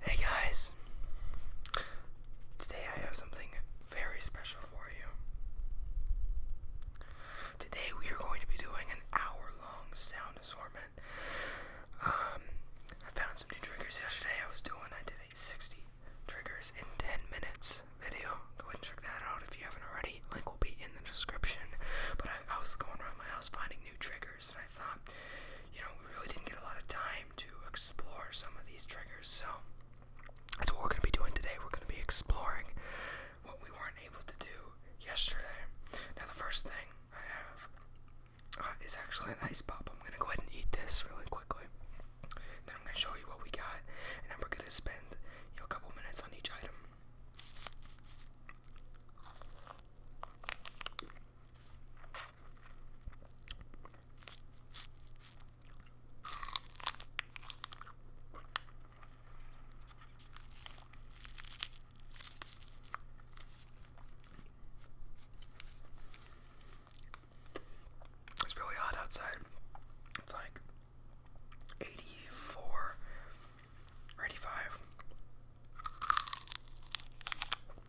Hey guys, today I have something very special for you. Today we are going to be doing an hour long sound assortment. Um, I found some new triggers yesterday. I was doing, I did a 60 triggers in 10 minutes video. Go ahead and check that out if you haven't already. Link will be in the description. But I, was going around my house finding new triggers, and thought, you know, we really didn't get a lot of time to explore some of these triggers. So that's what we're going to be doing today. We're going to be exploring what we weren't able to do yesterday. Now, the first thing I have uh, is actually an ice pop. I'm going to go ahead and eat this really quickly. Then I'm going to show you what we got, and then we're going to spend you know, a couple minutes on each item. It's really hot outside. It's like 84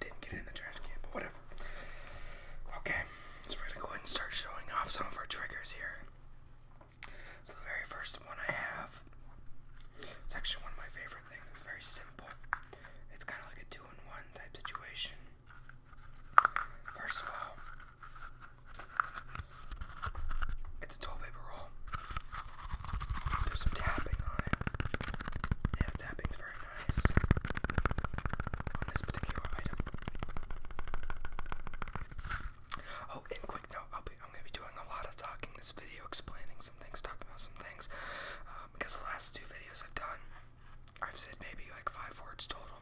Didn't get it in the trash can, but whatever. Okay, so we're gonna go ahead and start showing off some of our triggers here. So the very first one I have, it's actually one of my favorite things. It's very simple. It's kind of like a two-in-one type situation. First of all, it's a toilet paper roll. There's some tapping on it. Yeah, tapping's very nice this particular item. Oh, and quick note, I'll be, I'm going to be doing a lot of talking this video, explaining some things, talking about some things, um, because the last two videos I've done, I've said maybe like five words total.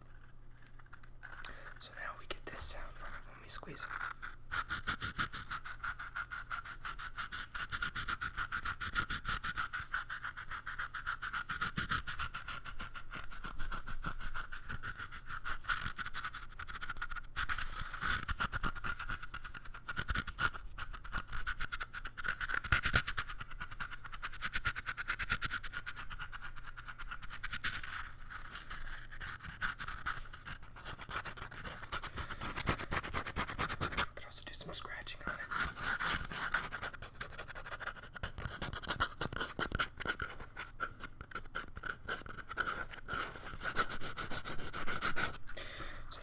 So now we get this sound from it when we squeeze it. So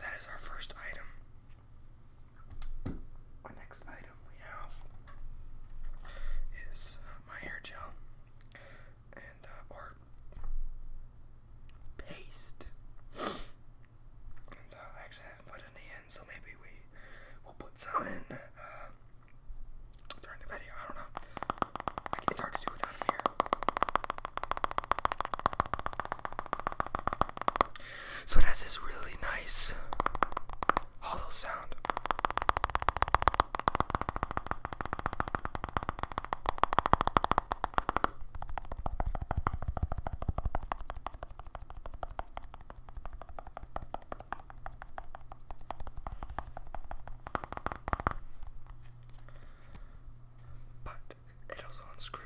that is our first item. Our next item we have is uh, my hair gel and uh, or paste. and, uh, I actually haven't put any in, so maybe we will put some in uh, during the video. I don't know. it's hard to do without here. So it has this really nice hollow sound. But it also unscrews.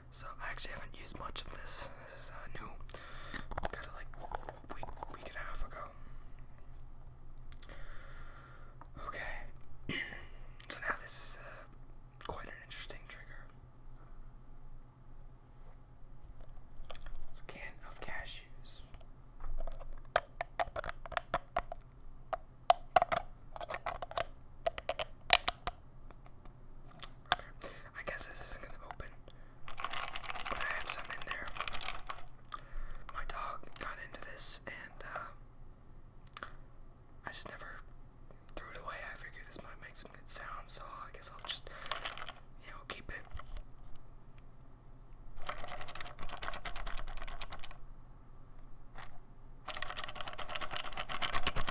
So I actually haven't used much of this. This is uh, new. Got it like week week and a half ago. Okay. so now this is uh, quite an interesting trigger. It's a can of cashews. I guess this isn't gonna open. But I have some in there. My dog got into this and uh, I just never threw it away. I figured this might make some good sound, so I guess I'll just you know keep it.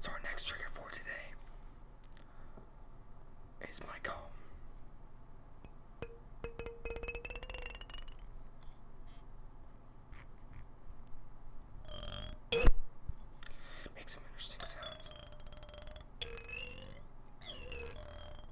So, our next trigger for today is my comb. Make some interesting sounds.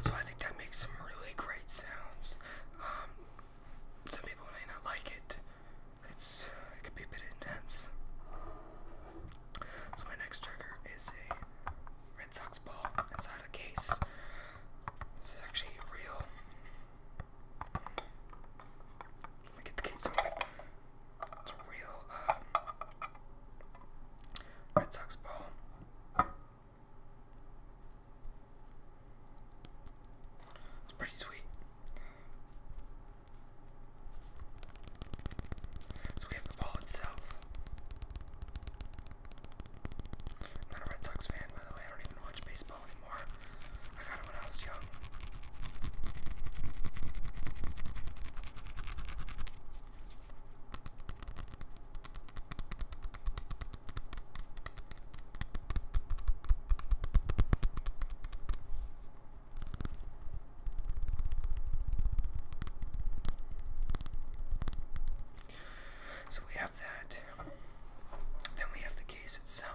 So I think that makes some really great sounds. Um, some people may not like it. It's it could be a bit intense. So my next trigger is a Red Sox ball inside a case. This is actually real. Let me get the case open. It's a real um, Red Sox ball. It's pretty sweet. So we have the ball itself. not a Red Sox fan, by the way. I don't even watch baseball anymore. I got it when I was young. So we have that. Then we have the case itself.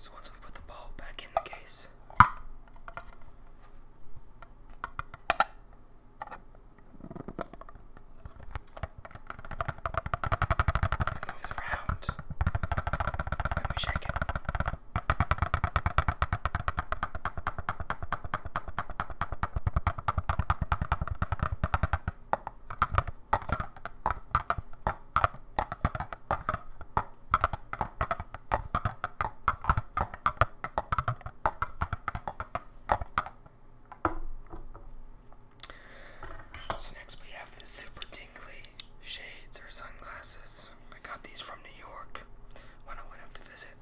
So once we put the ball back in the case, it moves around when we shake it. It so next we have the super tingly shades or sunglasses. I got these from New York when I went up to visit.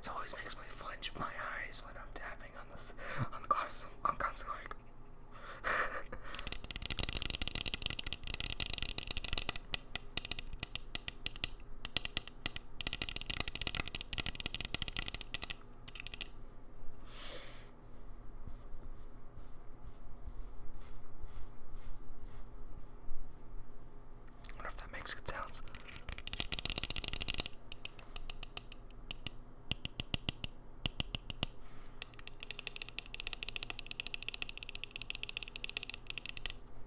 it always makes me flinch my eyes when I'm tapping on this on the glasses. i constantly I wonder if that makes good sounds.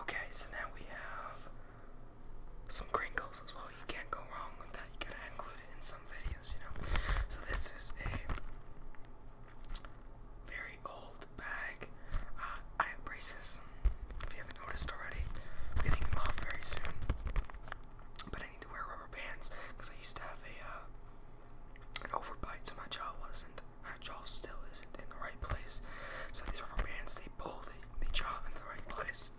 Okay, so now we have some crinkles as well. You can't go wrong with that. You gotta include it in some videos, you know. So this is a very old bag. Uh, I have braces. If you haven't noticed already, I'm getting them off very soon. But I need to wear rubber bands because I used to have a uh, an overbite, so my jaw wasn't her jaw still isn't in the right place. So these rubber bands, they pull the, the jaw into the right place.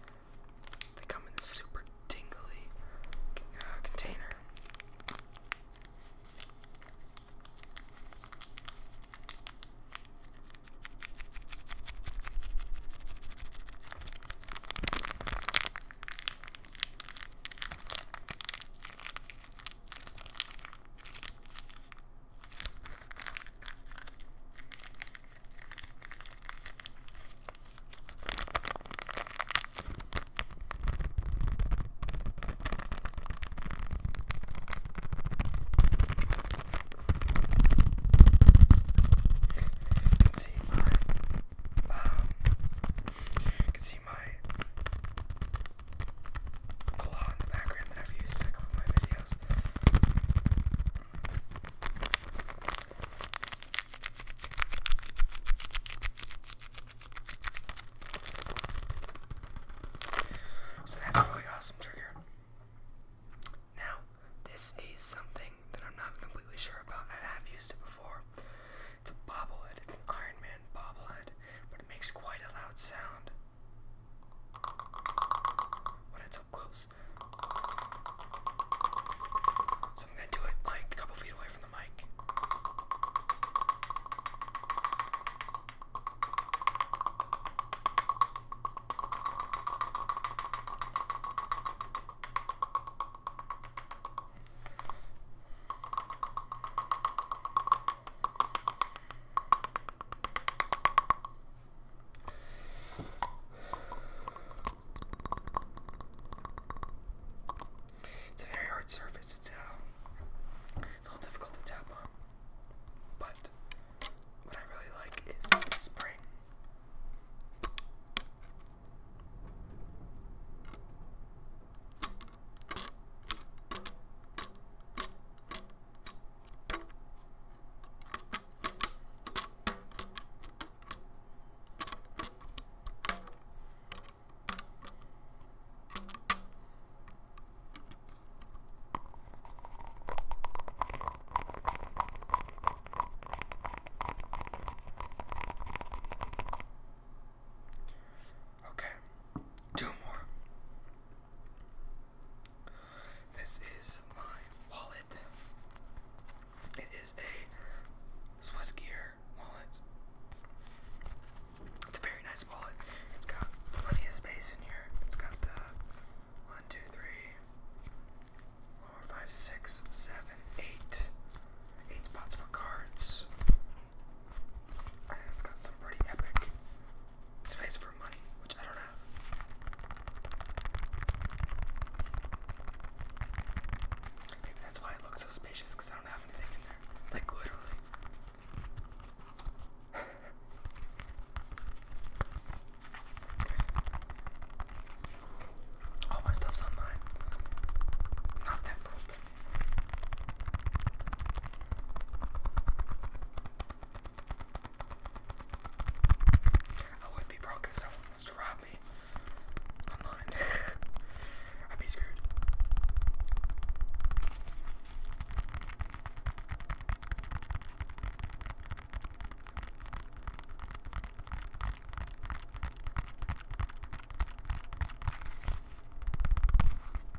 They come in this super dingly uh, container. You can see my, um, you can see my so that's really awesome trigger. Now, this is something that I'm not completely sure about. I have used it before. It's a bobblehead. It's an Iron Man bobblehead, but it makes quite a loud sound. When it's up close. So I'm gonna do it like a couple feet away from the mic. It's a very hard surface. It's uh, it's a little difficult to tap on, but what I really like is the spring. Okay, two more. This is my wallet. It is a Swiss gear wallet. It's a very nice wallet. It's got plenty of space in here. It's got uh, one, two, three, four, five, six, seven, eight, eight spots for cards. And it's got some pretty epic space for money, which I don't have. Maybe that's why it looks so spacious, because I don't have anything in there. Like, literally. All my stuff's online. Not that broken. I would be broke if someone wants to rob me online. I'd be screwed.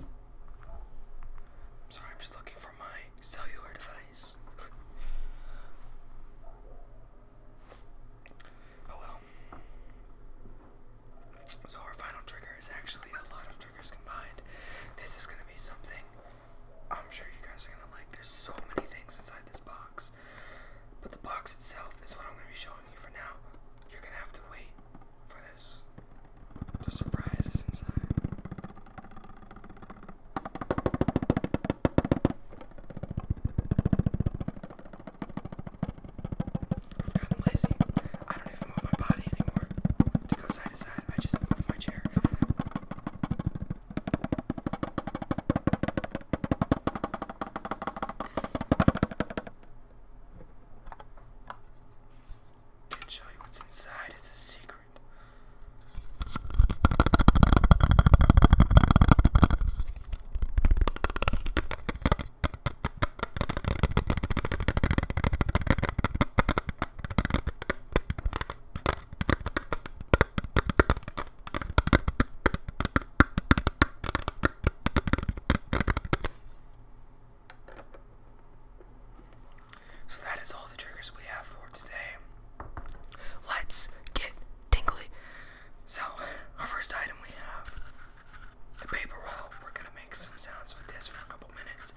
I'm sorry, I'm just looking for my cellular device. oh well. So, our final trigger is actually a lot of triggers combined. This is gonna be something I'm sure you guys are gonna like. There's so many things inside this box, but the box itself is what I'm gonna be showing telling you for now, you're gonna have to wait for this. The surprise is inside. I've lazy. I don't even move my body anymore to go side to side. I just move my chair. Can't show you what's inside, it's a secret. So that is all the triggers we have for today. Let's get tingly. So, our first item we have the paper roll. We're gonna make some sounds with this for a couple minutes.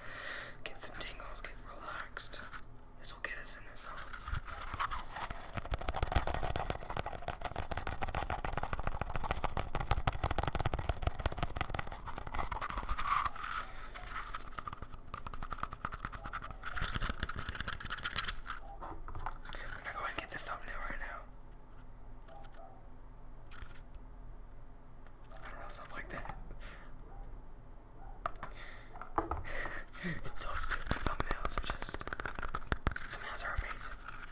Get some tingles, get relaxed. This will get us in the zone. I'm gonna go and get the thumbnail right now. I don't know, something like that. it's so stupid. Thumbnails are just. Thumbnails are amazing.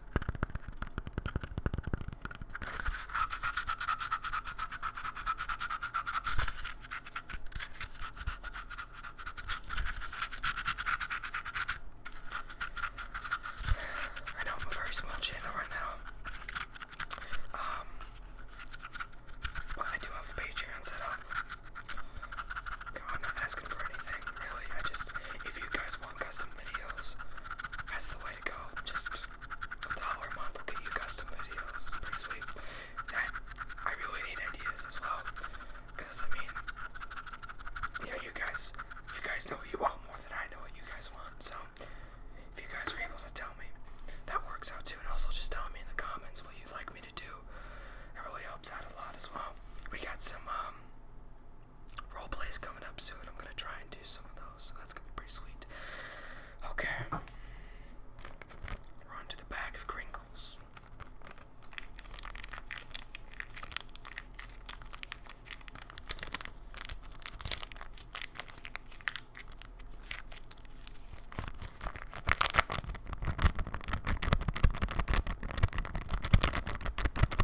I know I'm a very small channel right now. Um, but I do have a Patreon set up. I'm not asking for anything, really. I just, if you guys want custom videos, that's the way to go. Just a dollar a month will get you custom videos. It's pretty sweet. That, I really need ideas as well. Because, I mean, you know, you guys, you guys know what you want more than I know what you guys want. So, if you guys are able to tell me, that works out too. And also just tell me in the comments what you'd like me to do. It really helps out a lot as well. We got some, um, roleplay is coming up soon. I'm gonna try and do some of those. So that's gonna be pretty sweet. Okay. We're on the bag of crinkles.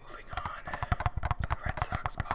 Moving on, the Red Sox ball.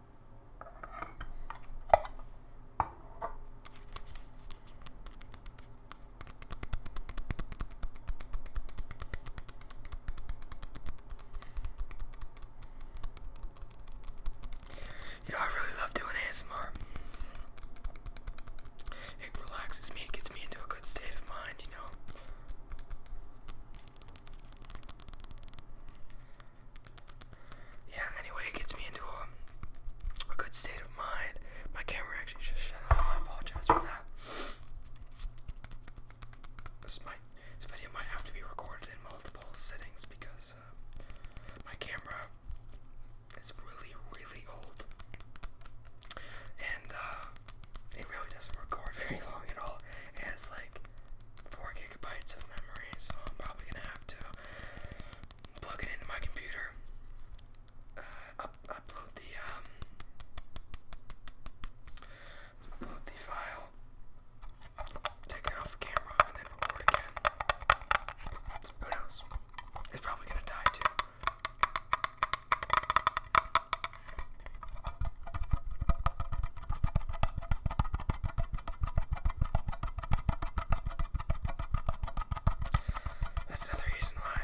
You know, I really love doing ASMR. It relaxes me, it gets me into a good state of mind, you know yeah, anyway, it gets me into a, um, a good state of mind. My camera actually just shut off. I apologize for that. This might this video might have to be recorded in multiple settings because uh, my camera is really really old and uh, it really doesn't record very long at all. It has like four gigabytes of memory, so I'm probably gonna have to plug it into my computer, uh, upload the um, upload the file, take it off the camera, and then record again. Who knows? It's probably gonna die too. That's another reason why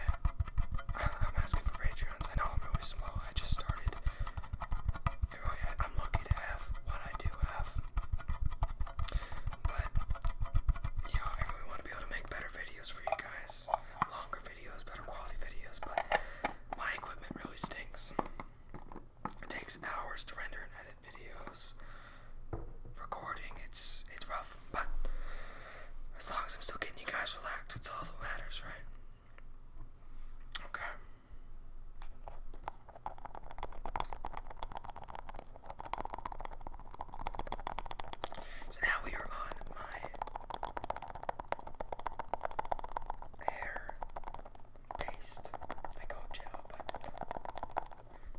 I'm asking for Patreons. I know I'm really slow. I just started. I'm lucky to have what I do have. But, yeah, I really want to be able to make better videos for you guys. Longer videos, better quality videos, but my equipment really stinks. It takes hours to render and edit videos. Recording, it's it's rough, but as long as I'm still getting you guys relaxed, it's all that matters, right? Okay. So now we are on my hair paste. I call it gel, but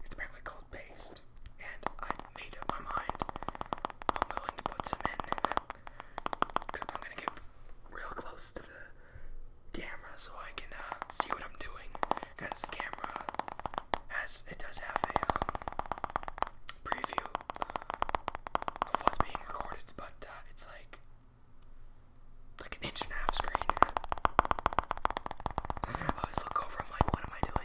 it's probably cold paste, and I made up my mind. I'm willing to put some in. Except I'm gonna get real close to the camera so I can uh, see what I'm doing. Because this camera has, it does have a um, preview of what's being recorded, but uh, it's like like an inch and a half screen. I always look over, I'm like, what am I doing?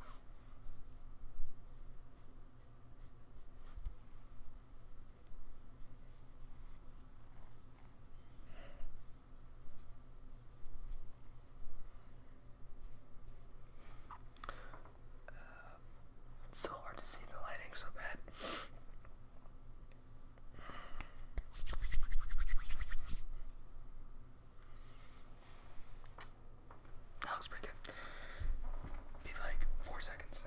Uh, so hard to see the lighting so bad. That looks pretty good. Be like four seconds.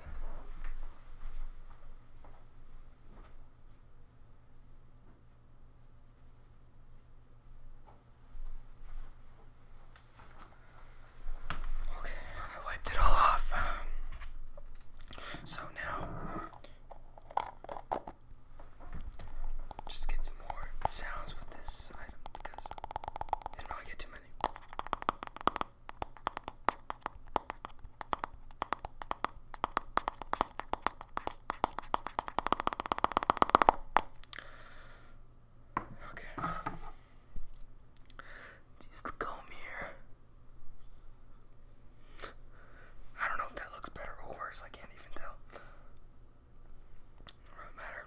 Okay, I wiped it all off. Um, so now just get some more sounds with this item because I didn't really get too many. Okay. Just comb here. I don't know if that looks better or worse. I can't even tell. does matter.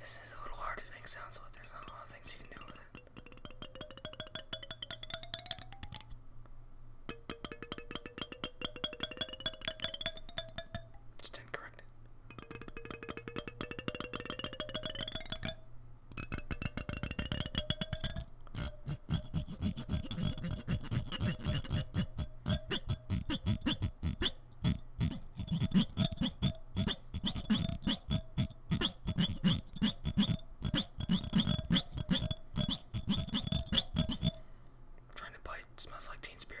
This is a little hard to make sound, but There's a lot of things you can do with it. It's correct it. I'm trying to bite. It smells like Teen Spirit.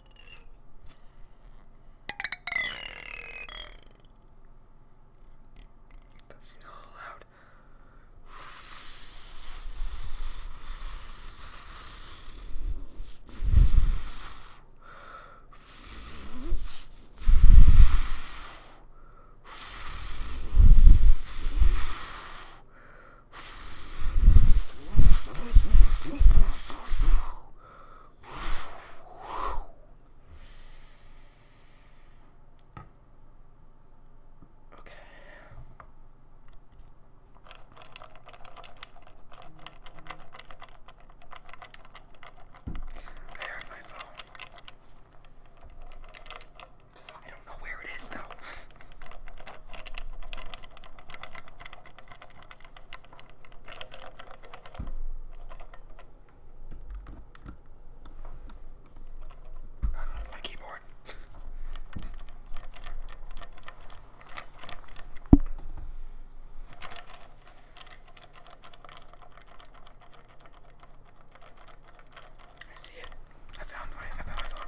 That seems a little loud. Okay. I heard my phone. I don't know where it is though. I don't know, my keyboard. I see it. I found my I found my phone.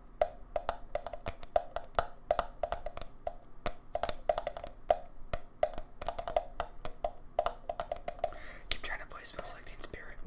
Keep trying to play Smells Like Teen Spirit.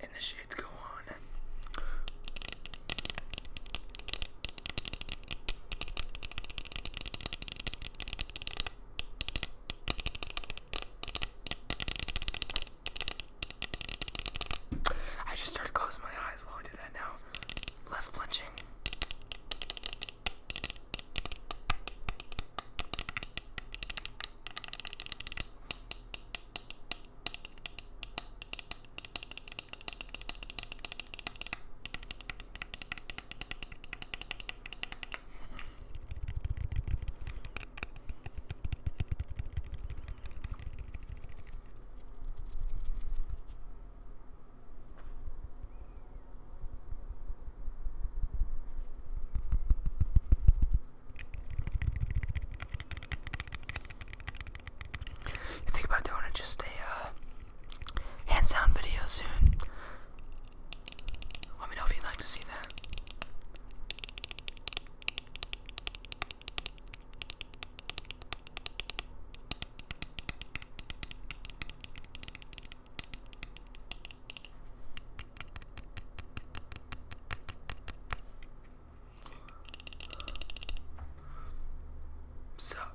And the shades go on. I just started closing my eyes while I do that now less flinching. You think about doing it just a uh, hands-on video soon? Let me know if you'd like to see that. Sup?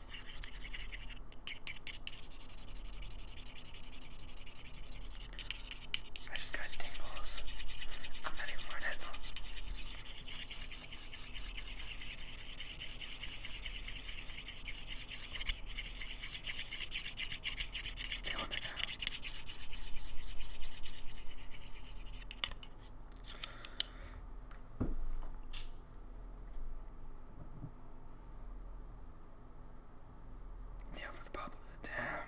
I just got tingles. I'm not even wearing headphones. They want it now. Yeah, for the pop of the dam.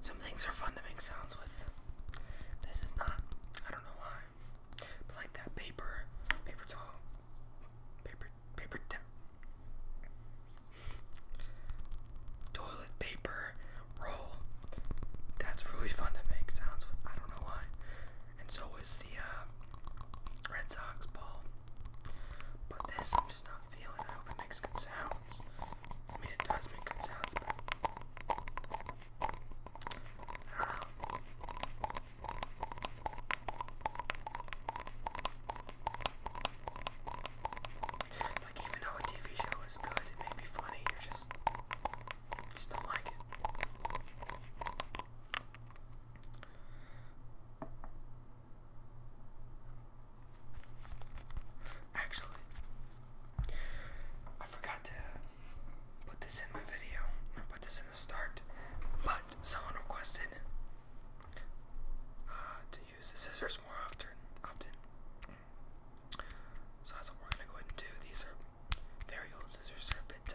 Some things are fun to make sounds with. This is not. I don't know why. like that paper, paper towel, paper, paper towel, toilet paper roll. That's really fun to make sounds with. I don't know why and so is the uh, Red Sox ball. But this, I'm just not feeling. I hope it makes good sounds. I mean, it does make good sounds, like even though a TV show is good, it may be funny. You're just, just not like it. Actually, I forgot to put this in my video. put this in the start, but someone requested uh, to use the scissors more often. Often, so that's what we're gonna go ahead and do. These are there you go, scissors are a bit tight.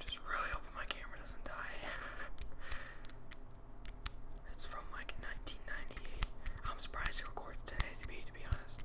Just really hoping my camera doesn't die. it's from like 1998. I'm surprised it records today to be to be honest.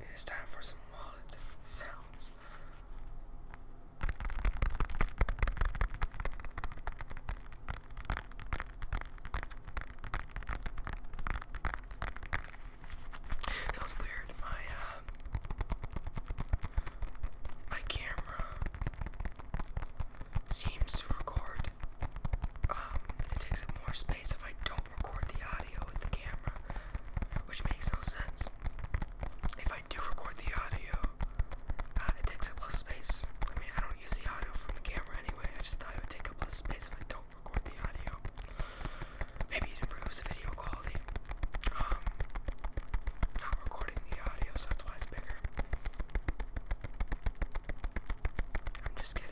it is time for some wallet sounds. That was weird. My uh, my camera seems to record. Um, it takes up more space if I don't record the audio with the camera, which makes no sense. If I do record the audio, uh, it takes up less space. I mean, I don't use the audio from the camera anyway. I just thought it would take up less space if I don't record the audio. Maybe it improves the video quality. Um, not recording the audio, so that's why it's bigger. I'm just kidding.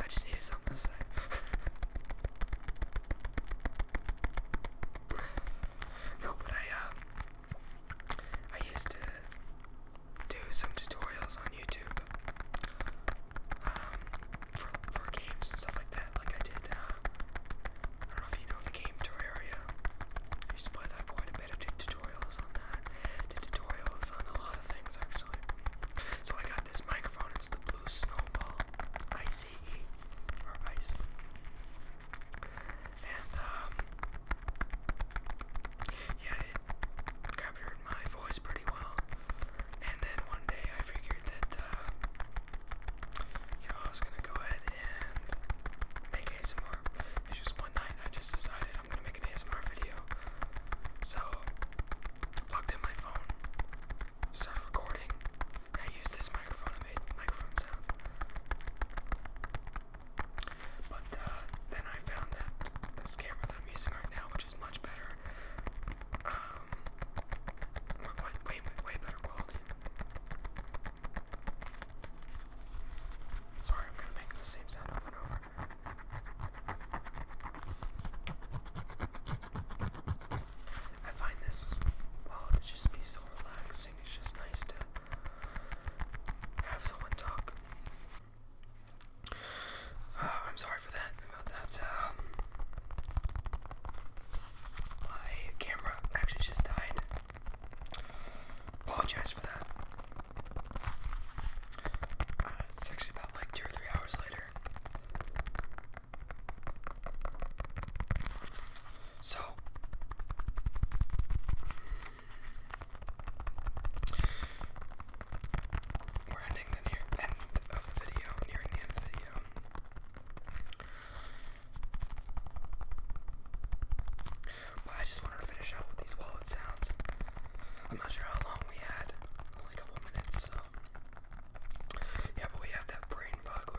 I just needed something to say. no, but I, uh, I used to do some tutorials on YouTube, um, for, games and stuff like that. Like I did, uh, I don't know if you know the game Terraria. used to play that quite a bit. did tutorials on that. Did tutorials on a lot of things actually. So I got this microphone microphone, it's the blue snowball. ICE or ice. And um, yeah, it captured my voice pretty well. And then one day I figured that uh, you know I was gonna go ahead and make ASMR. It's just one night I just decided I'm gonna make an ASMR video. So plugged in my phone start recording. I used this microphone and made microphone sounds. But uh, then I found that this camera that I'm using right now, which is much better, um, way, way, way better quality. Sorry, I'm gonna make the same sound over and over. I find this, just be so relaxing. It's just nice to have someone talk. Uh, I'm sorry for that, about that. Um, my camera actually just died. Apologize for that. Uh, it's actually about like two or three hours later. So, we're ending the near end of the video, nearing the end of the video. I just wanted to finish out with these wallet sounds. I'm not sure how long we had, only a couple minutes, so. Yeah, but we have that brain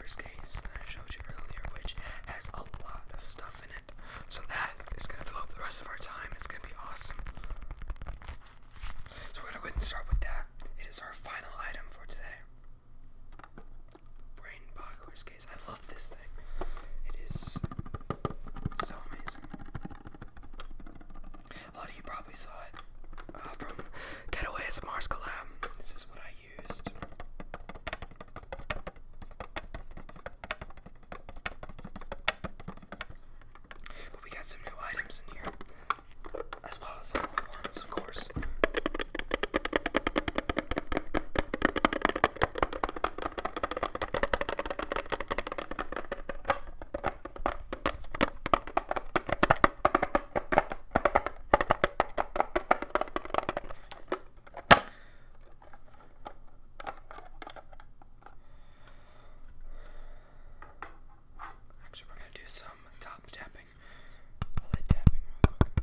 case that I showed you earlier, which has a lot of stuff in it. So that is gonna fill up the rest of our time. It's gonna be awesome. So we're gonna go ahead and start with that. It is our final item for today. Brain case. I love this thing. It is so amazing. A lot of you probably saw it uh, from Mars Collab. This is what I used. But we got some new items in here, as well as of course. Actually, we're going to do some top tapping, lid tapping real quick.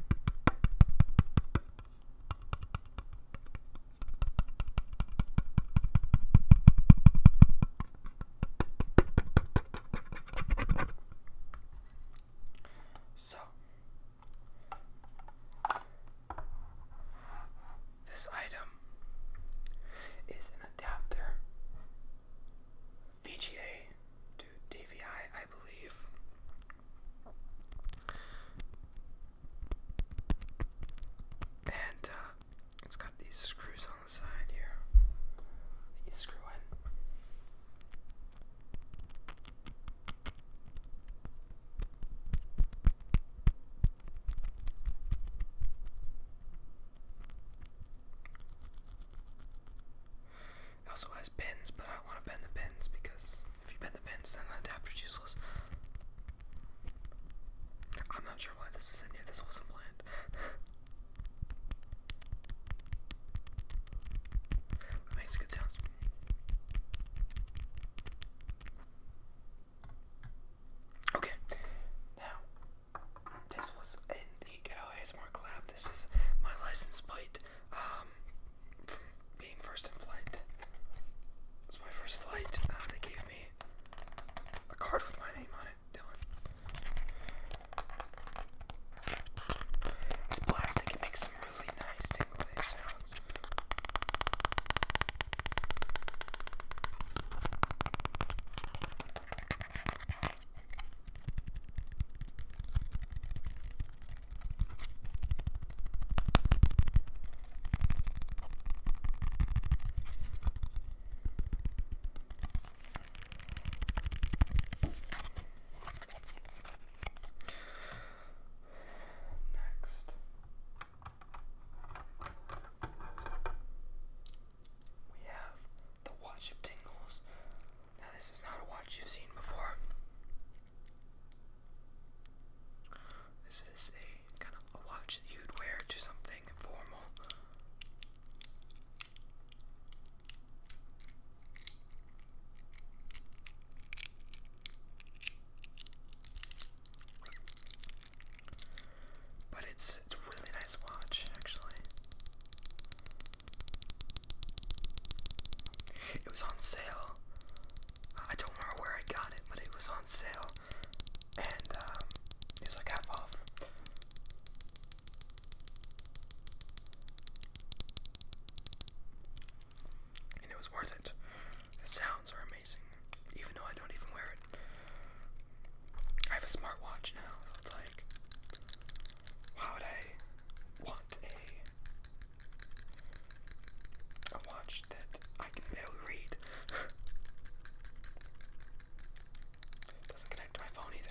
So, this item is an adapter VGA to DVI, I believe. And uh, it's got these screws on the side here. You screw in. It also has pins, but I don't want to bend the pins because if you bend the pins, then the adapter's useless. I'm not sure why this is in here. This wasn't planned. It makes good sounds. Okay, now this was in the Get Out ASMR collab. This is my license plate um, from being first in flight. It was my first flight. Uh, they gave me a card with my name on it done. It's plastic, it makes some really nice tingly sounds. Next. We have the Watch of Tingles. Now, this is not a watch you've seen before. This is a kind of a watch that you'd wear to something formal but it's it's really nice watch actually. It was on sale. I don't remember where I got it, but it was on sale, and um, like half off. And it was worth it. The sounds are amazing, even though I don't even wear it. I have a smartwatch now, it's like, why would I want a watch that I can barely read? Doesn't connect to my phone either.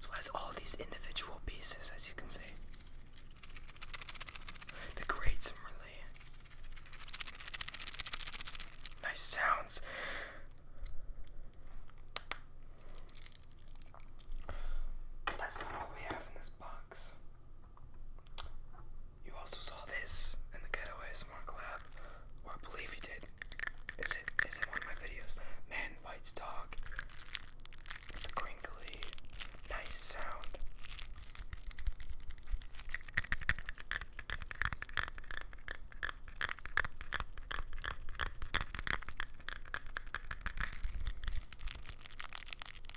So it has all these individual pieces, as you can see. The grates are really nice sounds. That's all we have in this box. You also saw this in the Ghetto ASMR lab, or I believe you did. Is it is it one of my videos? Man bites dog. The crinkly, nice sound. We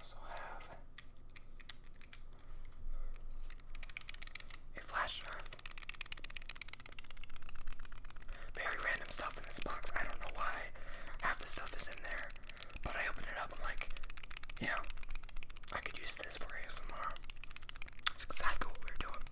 also have a flash drive. Very random stuff in this box. I don't know why half the stuff is in there, but I open it up. I'm like, yeah, I could use this for ASMR. That's exactly what we're doing.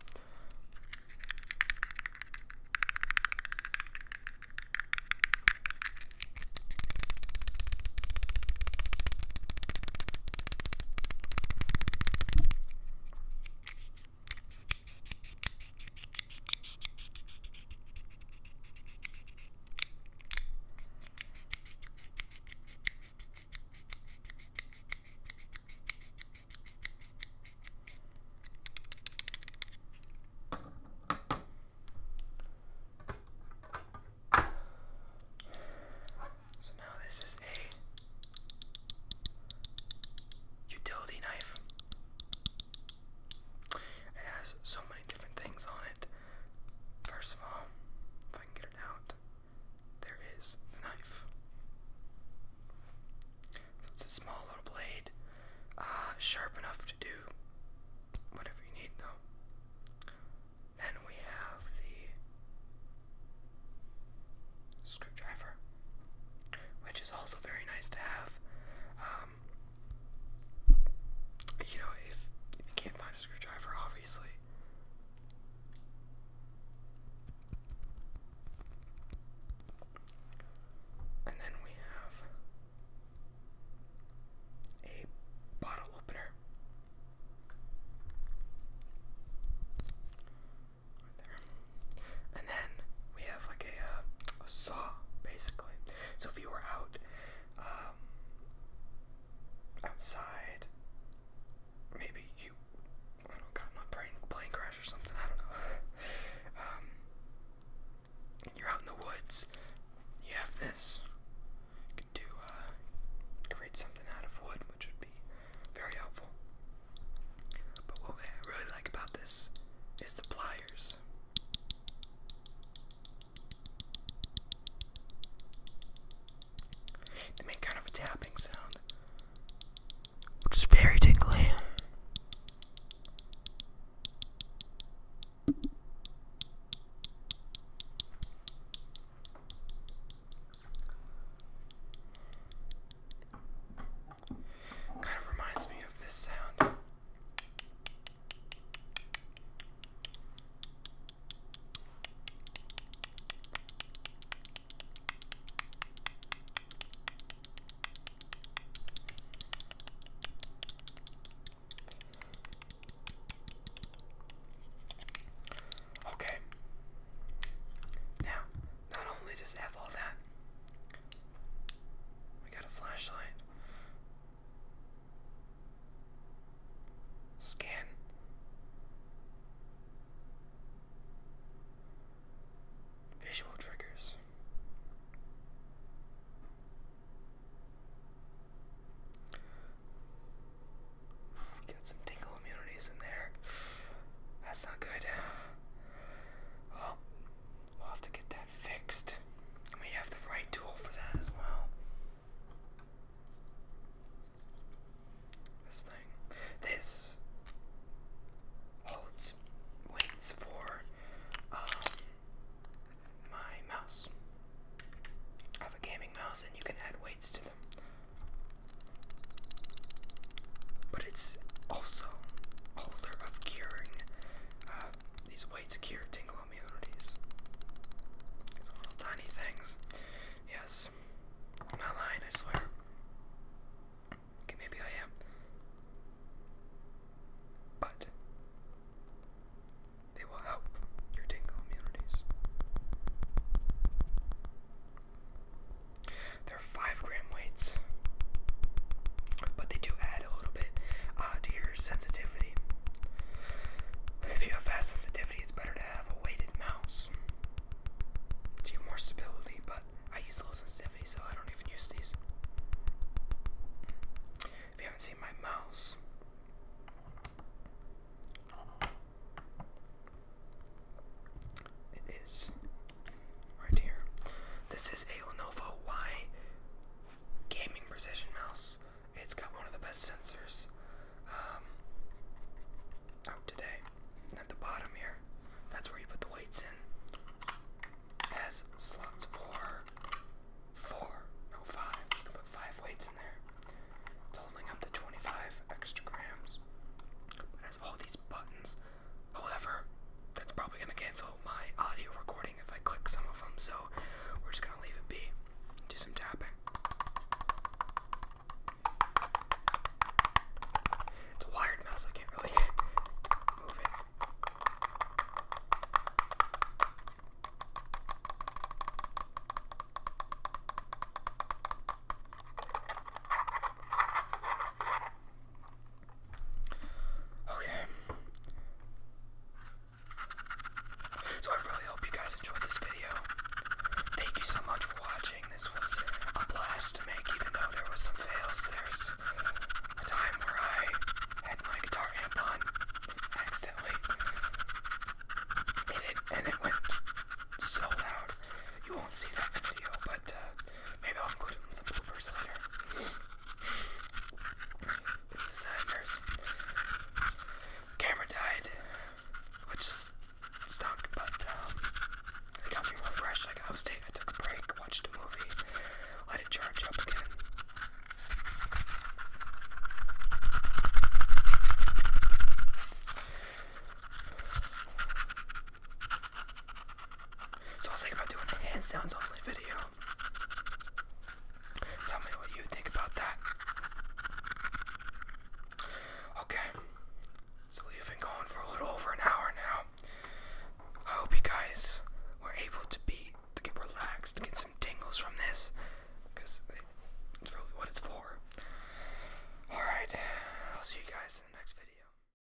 So now this is a utility knife. It has so many different things on it. First of all, if I can get it out, there is the knife. it's a small little blade, uh, sharp enough to do whatever you need, though. Then we have the screwdriver which is also very nice to have. Um, you know, if you can't find a screwdriver, obviously. And then we have a bottle opener. And then we have like uh, a, saw, basically. So if you were out um, outside, maybe you, I don't know, got in a plane crash or something, I don't know. Um, you're out in the woods, you have this. You could do, uh, create something out of wood, which would be very helpful. But what I really like about this is the pliers. They make kind of a tapping sound, which is very tingly. Kind of reminds me of this sound. Okay. Now, not only does have all that, we got a flashlight. Scan. Visual triggers. Got some tingle immunities in there. That's not good. Well, we'll have to get that fixed. We have the right tool for that as well. This thing. This holds weights for um, my mouse. I have a gaming mouse and you can add weights to them but it's also a holder of curing uh, these weights cure tingle immunities. These little tiny things. Yes. not lying, I swear. Okay, maybe I am. But they will help your tingle immunities. They're five gram weights, but they do add a little bit uh, to your sensitivity. If you have fast sensitivity, it's better to have a weighted mouse. to you more stability, but I use low sensitivity, so I don't even use these. If you haven't seen my mouse, it is right here. This is a Lenovo Y gaming precision mouse. It's got one of the best sensors um, out today. at the bottom here, that's where you put the weights in. It has slots for four, no five. You can put five weights in there. It's holding up to 25 extra grams. It has all these buttons However, that's probably going to cancel my audio recording if I click some of them, so we're just going to leave it be. Do some tapping. It's a wired mouse, I can't really move it. Okay. So I really hope you guys enjoyed this video. Thank you so much for watching. This was a blast to make, even though there was some fails. There's a time where I had my guitar amp on accidentally. It, and it went so loud. You won't see that video, but but uh, maybe I'll include it in some bloopers later. it was uh, embarrassing. Camera died, which stunk, but um, it got me refreshed. Like I was taking, I took a break, watched a movie, let it charge up again. So I was thinking about doing a hand sounds only video. Tell me what you think about that. Okay. So we've been going for a little over an hour now. I hope you guys were able to be to get relaxed, to get some tingles from this, because it's really what it's for. Alright, I'll see you guys in the next video.